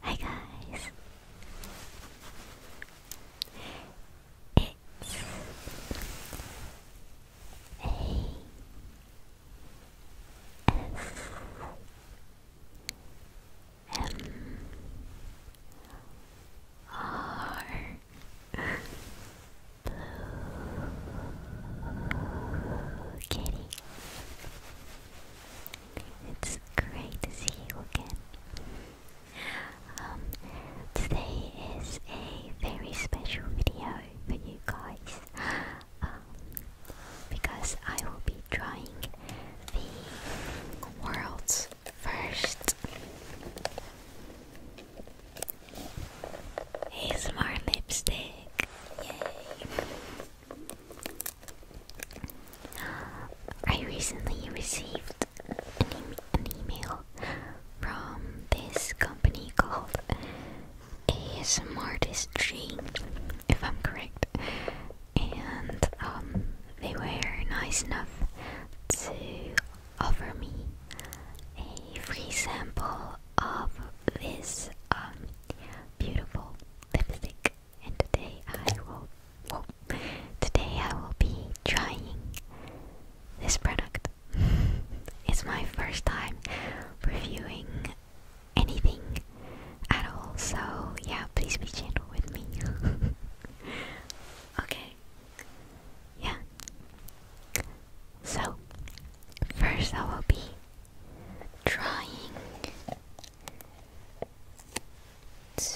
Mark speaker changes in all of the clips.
Speaker 1: Hi guys! It's A S M R Blue Kitty. It's great to see you again. Um, today is a very special video for you guys um, because I will be drawing the world's first ASMR lipstick. Yay! I recently received an, email from this company called ASMRtistry, if I'm correct, and um, they were nice enough to offer me a free sample of this um, beautiful lipstick today I will today I will be trying this product. it's my first time reviewing anything at all, so yeah, please be gentle with me. okay. Yeah. So, first I will be trying to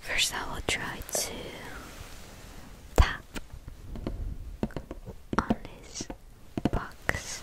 Speaker 1: first I will try to tap on this box.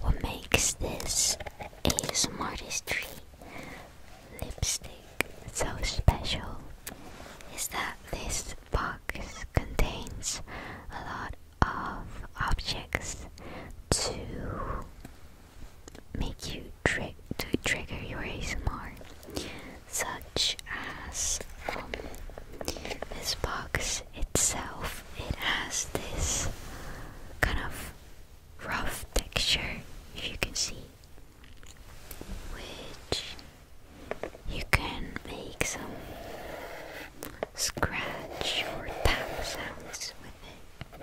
Speaker 1: What makes this a Smartest Tree lipstick so special is that this box contains a lot of objects to make you tri trigger your Smart, such as um, this box itself, it has this kind of rough texture, if you can see, which you can make some scratch or tap out with it.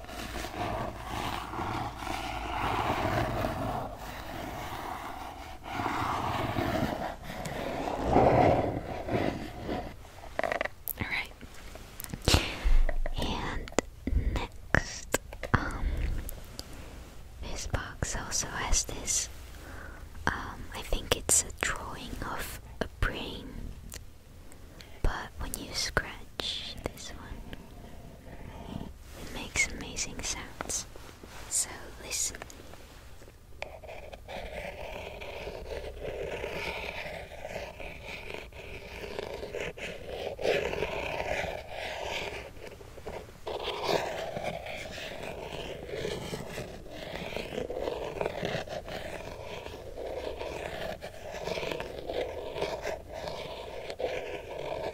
Speaker 1: All right. And next, um, this box also has this. Um, I think it's a drawing of a brain, but when you scratch this one, it makes amazing sounds. So listen.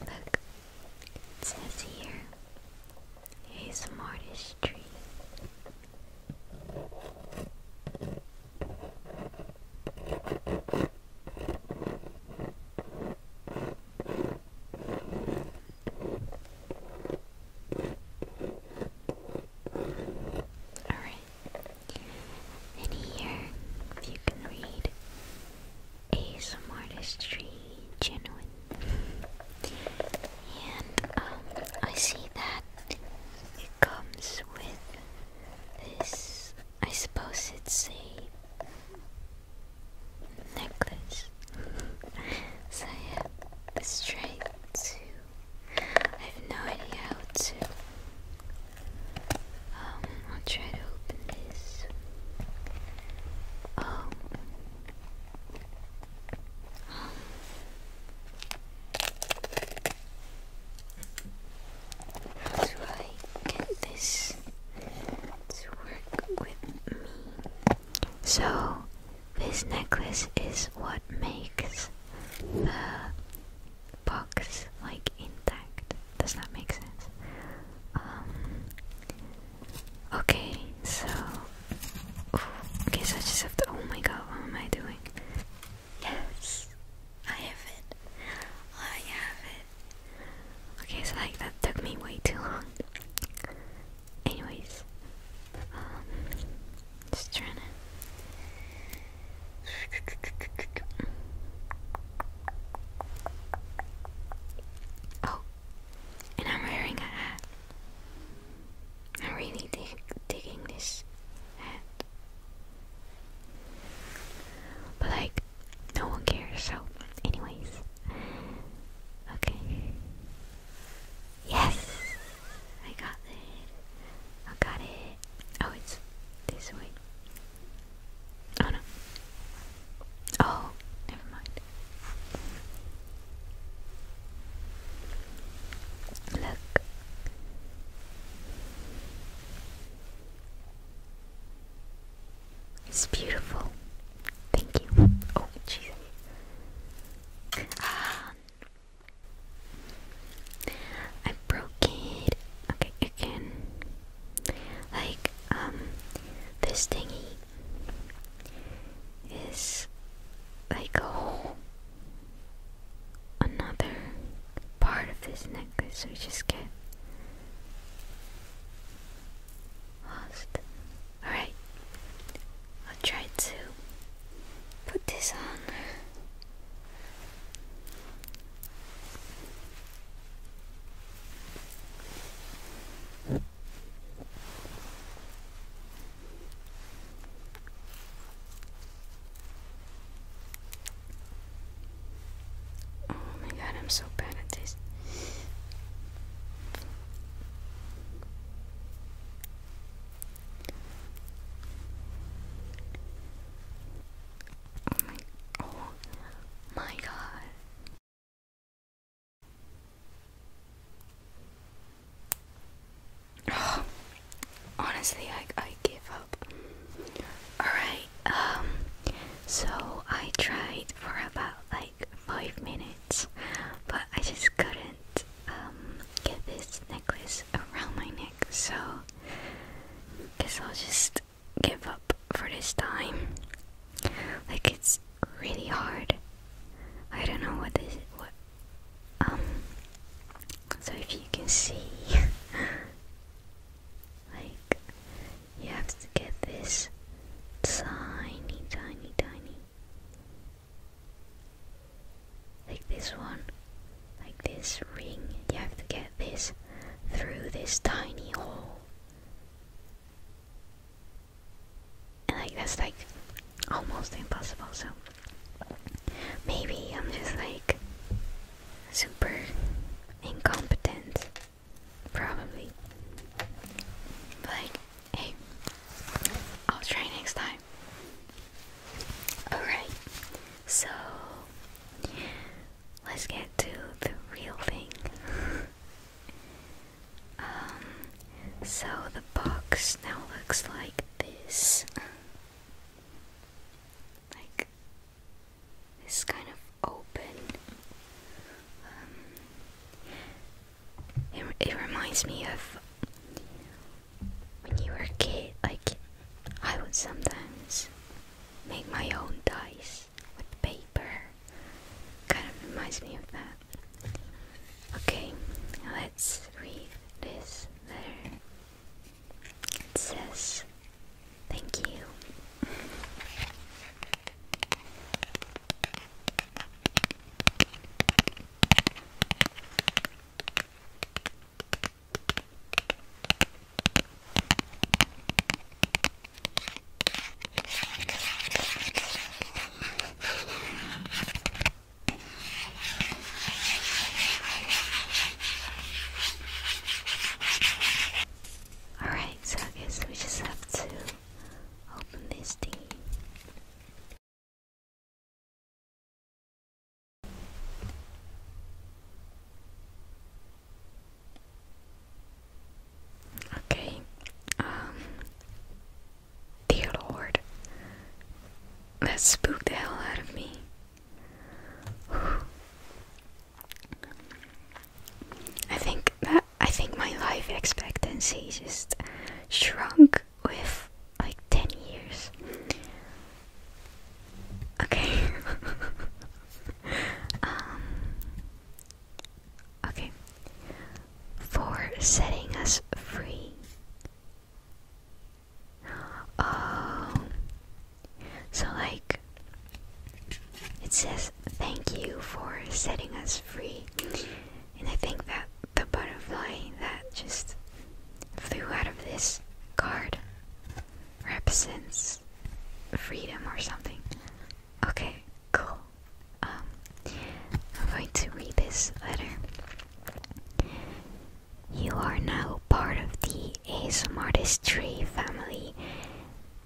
Speaker 1: Look, it says here He's a mortise tree. Alright. And here, you can read, ASM artistry genuine. And um, I see that it comes with this, I suppose it's a necklace. so I have this try to, I have no idea how to, um, I'll try to open this how do I get this to work with me? So, this necklace is what makes the box like intact. Does that make sense? Um, Okay, so okay, so I just have to. Oh my god, what am I doing? Yes, I have it. I have it. Okay, so like that took me way too long. Anyways, um, just trying to. Oh, and I'm wearing a hat. I'm really dig digging this hat. But like, no one cares, so anyways. Okay. Yes! I got it. I got it. Oh, it's this way. Oh no. Oh, never mind. Look. It's beautiful. Thank you. Oh, jeez. Um, I broke it. Okay, again. Like, um, this thingy is like a whole another part of this necklace, we just get lost. Alright, I'll try to put this on. Oh my god, I'm so bad at this. Oh my, oh god. honestly, I, I give up. Alright, um, so I tried for about like five minutes, but I just couldn't um, get this necklace around my neck, so guess I'll just give up for this time. Like it's really hard. I don't know what this what um so if you can see like you have to get this tiny tiny tiny like this one like this ring you have to get this through this tiny hole and like that's like almost impossible, so maybe I'm just like super incompetent. Probably. Like, hey, I'll try next time. Alright, so let's get to the real thing. Um, so the box now looks like this. Like this kind of open. Um, it, it reminds me of when you were a kid, like I would sometimes make my own dice this with paper. Kind of reminds me of that. Okay, let's read this letter. It says, Thank you. Alright, so I guess we just have to open this thing. Okay. Um Dear Lord. That spooked the hell out of me. I think that I think my life expectancy just shrunk with like 10 years. Okay. Um, Okay. For setting us free. Oh. So, like, it says, Thank you for setting us free. And I think that the butterfly that just flew out of this card represents freedom or something. Okay, cool. Um, I'm going to read this letter. You are now part of the ASMRtistry family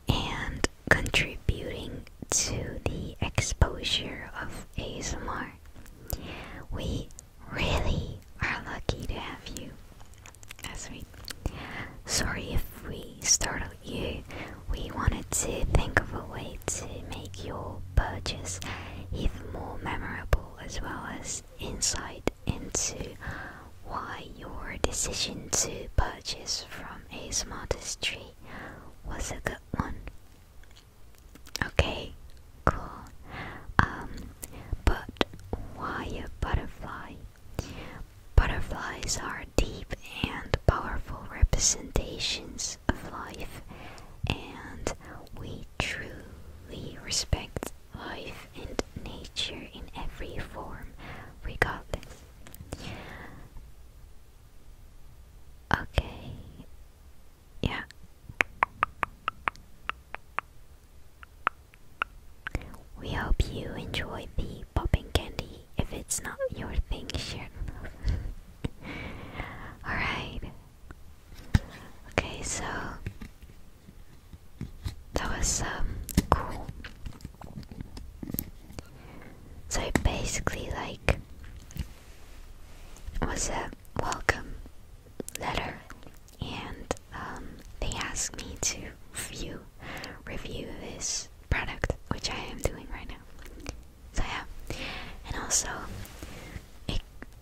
Speaker 1: and contributing to the exposure of ASMR. We really are lucky to have you as we sorry. if we startled you. We wanted to think of a way to make your purchase even more memorable as well as insight into why your decision to purchase from a smartest tree was a good one. Okay, cool. Um, but why a butterfly? Butterflies are deep and powerful representations of life, and we truly respect life and nature in every form, regardless. Okay, yeah. We hope you enjoyed the popping candy if it's not your thing, sure. Alright. Okay, so that was um cool. So basically like was a welcome letter and um they asked me to view review this product, which I am doing right now. So yeah, and also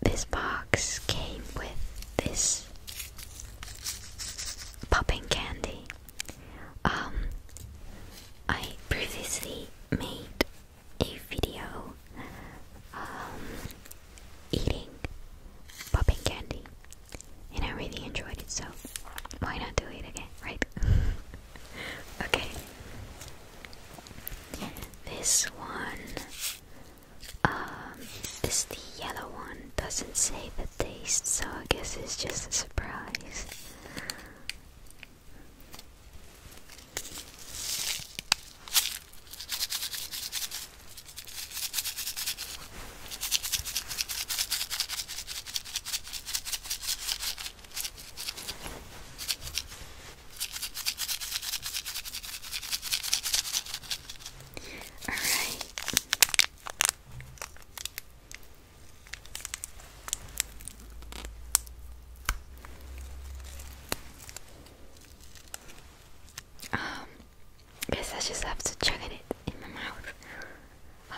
Speaker 1: this box came with this popping candy. Um, I previously made a video um, eating popping candy and I really enjoyed it, so why not do it again, right? okay. This one, um, this yellow one doesn't say the taste, so I guess it's just a surprise. All right. Um, guess I just have to chuck it in my mouth. Um,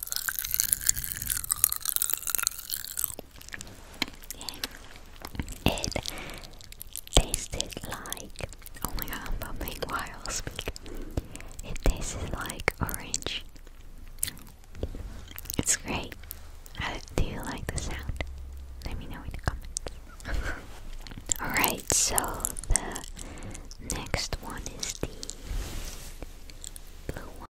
Speaker 1: It tasted like oh my god, I'm bumping while I speak. It tasted like orange. It's great. How, do you like the sound? Let me know in the comments. Alright, so the next one is the blue one.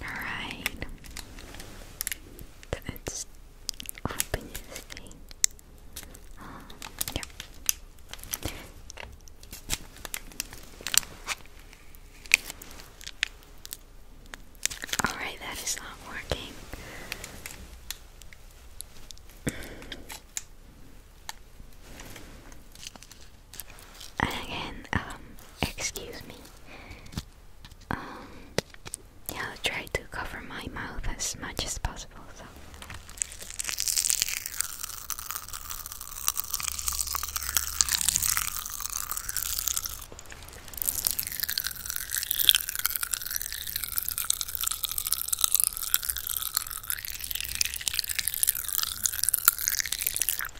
Speaker 1: Alright. Let's open this thing. Um, Alright, that is not working. And again, um, excuse me. Um, I'll try to cover my mouth as much as possible. So.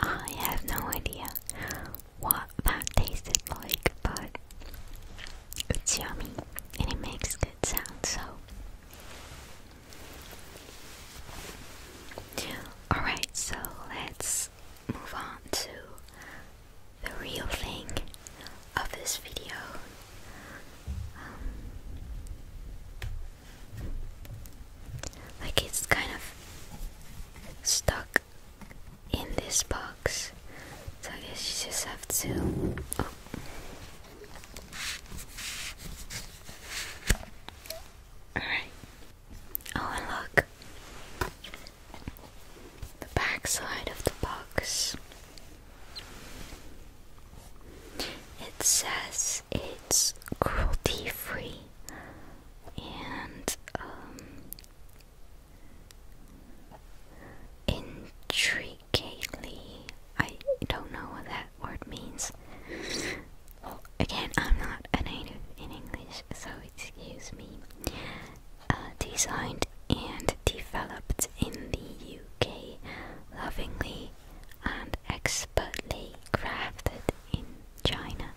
Speaker 1: I have no idea what that tasted like, but it's yummy and it makes good sound, so. Alright, so let's move on to the real thing of this video. Um, like it's kind of stuck in this box, so I guess you just have to. Alright. Oh, oh look the back side of the box. It says it's cruelty free and um, intricately. I don't know what that word means. Well, again, I'm not a native in English, so excuse me. Uh, designed and developed in the UK, lovingly and expertly crafted in China,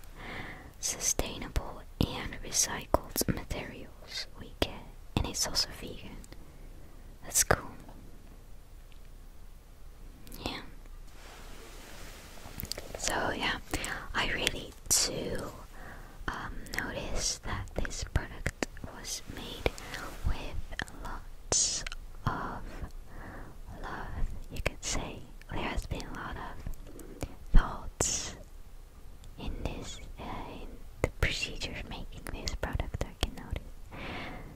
Speaker 1: sustainable and recycled materials we get, and it's also vegan. That's cool. Yeah. So yeah, I really do um, notice that this product was made with lots of love, you could say. There has been a lot of thoughts in this, uh, in the procedure making this product, I can notice.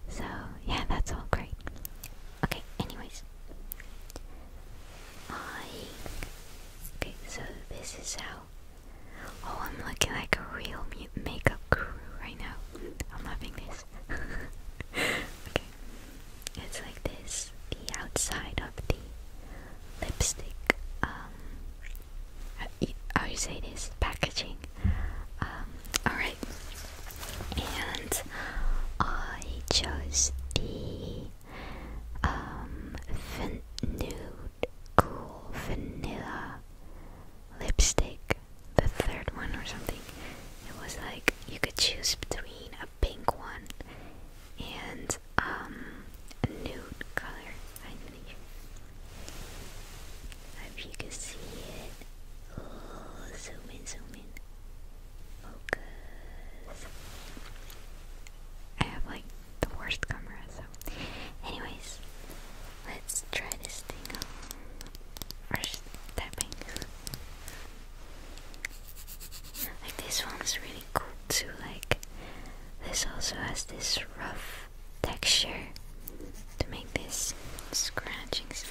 Speaker 1: So, yeah, that's all great. Okay, anyways. I. Okay, so this is how Oh, I'm looking like a real makeup crew right now. I'm loving this. okay, it's like this. The outside of the lipstick. Um, how you say this? Packaging. Um, all right. And I chose the um, nude, cool vanilla lipstick, the third one or something. It was like you could choose between a pink one and a um, nude color. I think. hope you can see it. zoom in, zoom in. Focus. I have like the worst camera, so anyways, let's try this thing out. First tapping. Like this one's really cool too, like this also has this rough texture to make this scratching sound.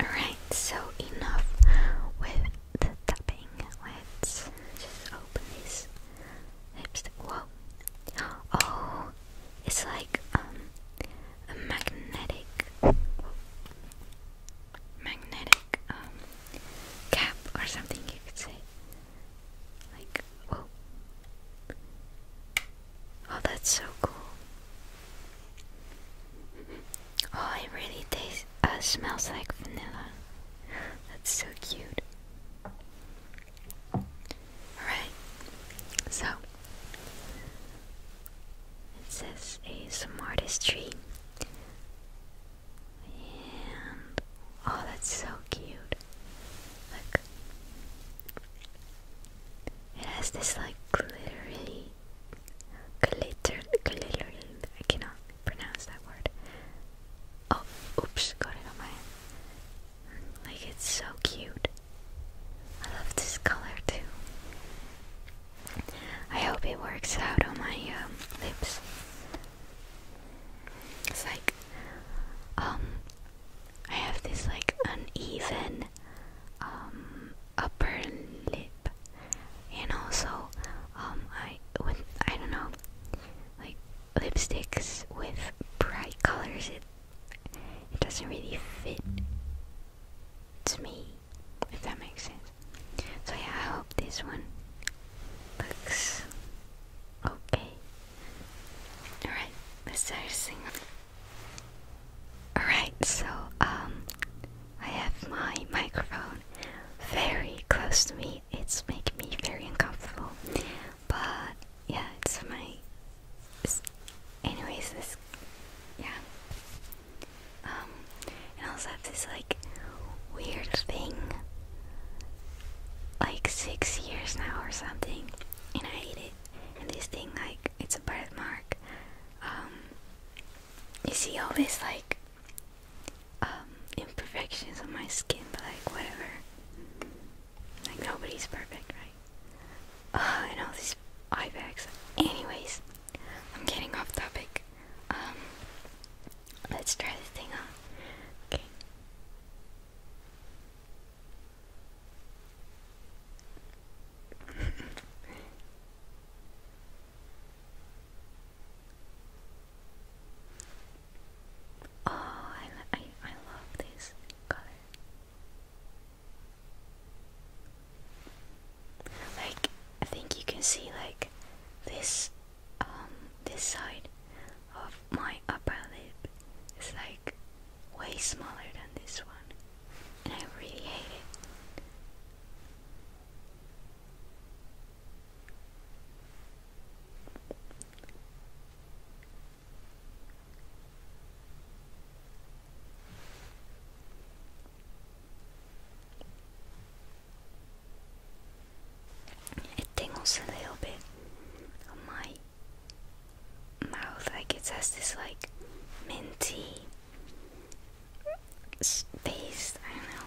Speaker 1: Alright, so enough with the tapping. Let's just open this lipstick. Whoa. Oh, it's like um, a magnetic magnetic um cap or something you could say. Like whoa. Oh that's so cool. Oh, it really tastes, uh, smells like vanilla. That's so cute. Alright, so it says ASM artistry. And oh, that's so cute. Look, it has this like glittery glitter, glittering. I cannot pronounce that word. Oh, oops, got it on my hand. Like it's so cute. I love this color too. I hope it works out on my um, lips. It's like, um, I have this like uneven, um, upper lip and also um, I I don't know like lipsticks with bright colors it it doesn't really fit to me if that makes sense. So yeah, I hope this one looks okay. Alright, let's start singing. Alright, so um I have my microphone very close to me. It's making me very uncomfortable. But yeah, it's my. anyways, this. Yeah. Um, and I also have this like weird thing. Like six years now or something, and I hate it. And this thing, like, it's a birthmark. Um, you see all this like um, imperfections on my skin, but like whatever. Like nobody's perfect, right? Uh, and all these eye bags. Anyways, I'm getting off topic. Um, let's try this thing on. Okay. Oh, I, I, love this color. Like, I think you can see like this, um, this side of my upper lip is like way smaller than this one, and I really hate it. It tingles a little bit on my mouth, like it has this like minty space. I don't know.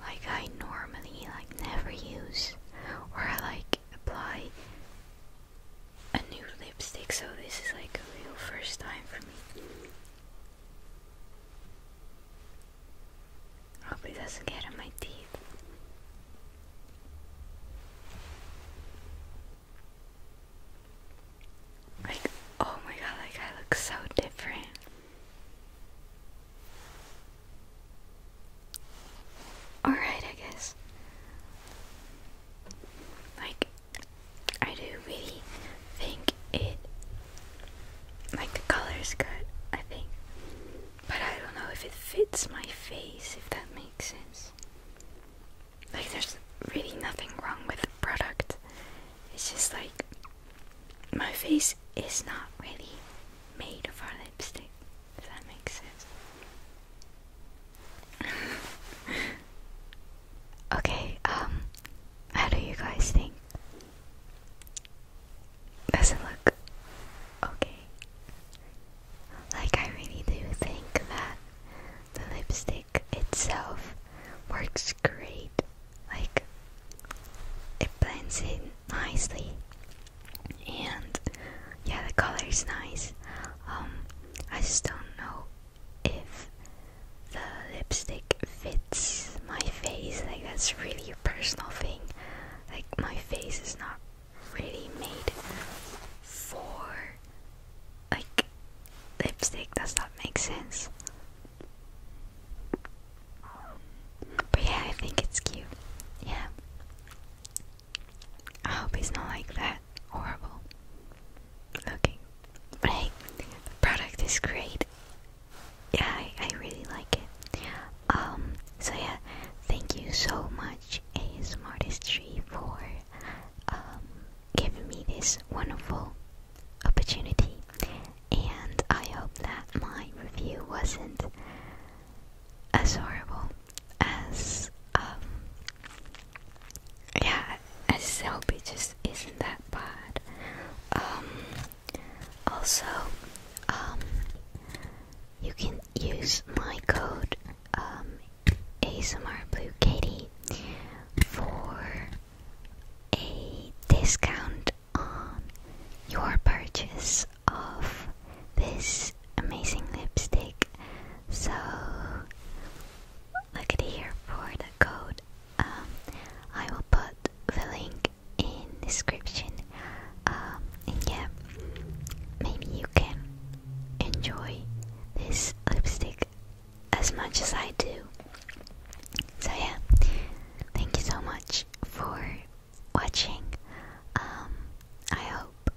Speaker 1: like I normally like never use or I like apply a new lipstick so this is like a real first time for me. Hope it doesn't get on my teeth. Like, oh my god, like I look so different. Alright, I guess. Like, I do really think it. Like, the color is good, I think. But I don't know if it fits my face, if that makes sense. Like, there's really nothing wrong with the product. It's just like. My face this is not really made of our lipstick, if that makes sense. okay, um, how do you guys think? Does it look okay? Like, I really do think that the lipstick itself works great. Like, it blends in nicely and yeah, the color is nice. Um, I just don't know if the lipstick fits my face. Like that's really a personal thing. Like my face is not really made for like lipstick. Does that make sense? But yeah, I think it's cute. Yeah. I hope he's not like that horrible looking. But hey, the product is great. Yeah, I, I really like it. Um, so yeah, thank you so much, A Smartest Tree, for um, giving me this wonderful opportunity. And I hope that my review wasn't as horrible as um yeah as Selby just isn't that bad. Um also um you can use my code um ASMR Blue Katie for a discount on your purchase of this amazing lipstick. So look at here for the code. Um, I will put the link in description. Um, and yeah, maybe you can enjoy this lipstick as much as I do. So yeah, thank you so much for watching. Um, I hope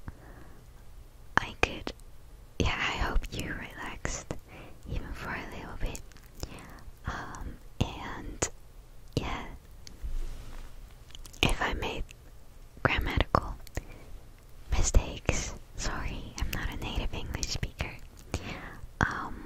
Speaker 1: I could. Yeah, I hope you relaxed even for a little bit. Um, and yeah, if I made grammatical mistakes, sorry, I'm not a native English speaker. Um,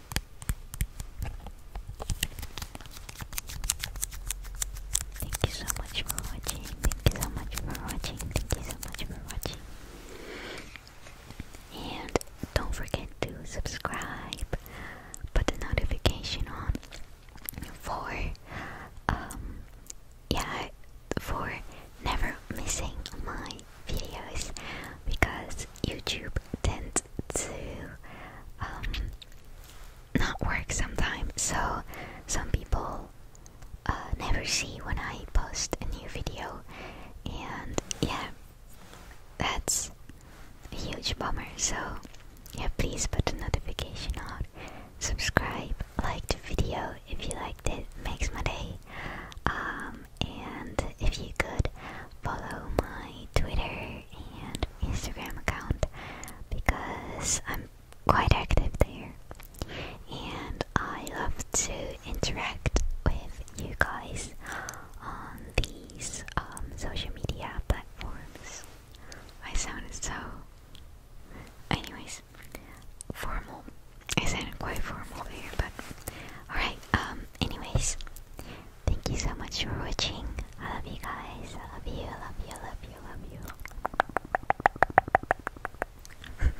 Speaker 1: Thank you so much for watching. Thank you so much for watching. Thank you so much for watching. And don't forget to subscribe, put the notification on for um, yeah for never missing my videos because YouTube tends to um, not work sometimes, so some people uh, never see when I post a new video, and yeah, that's a huge bummer. So, yeah, please put the notification on, subscribe, like the video if you liked it, makes my day. Um, and if you could follow my Twitter and Instagram account because I'm quite active there and I love to interact with you guys on these um, social media platforms. I sound so. Anyways, formal. I sound quite formal here, but alright. Um. Anyways, Thank you so much for watching. I love you guys. I love you. I love you. I love you. I love you.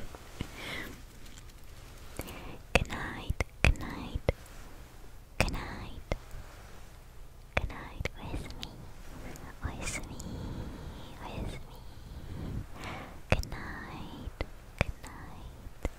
Speaker 1: good night. Good night. Good night. Good night. Where's me? Where's me? Where's me? Good night. Good night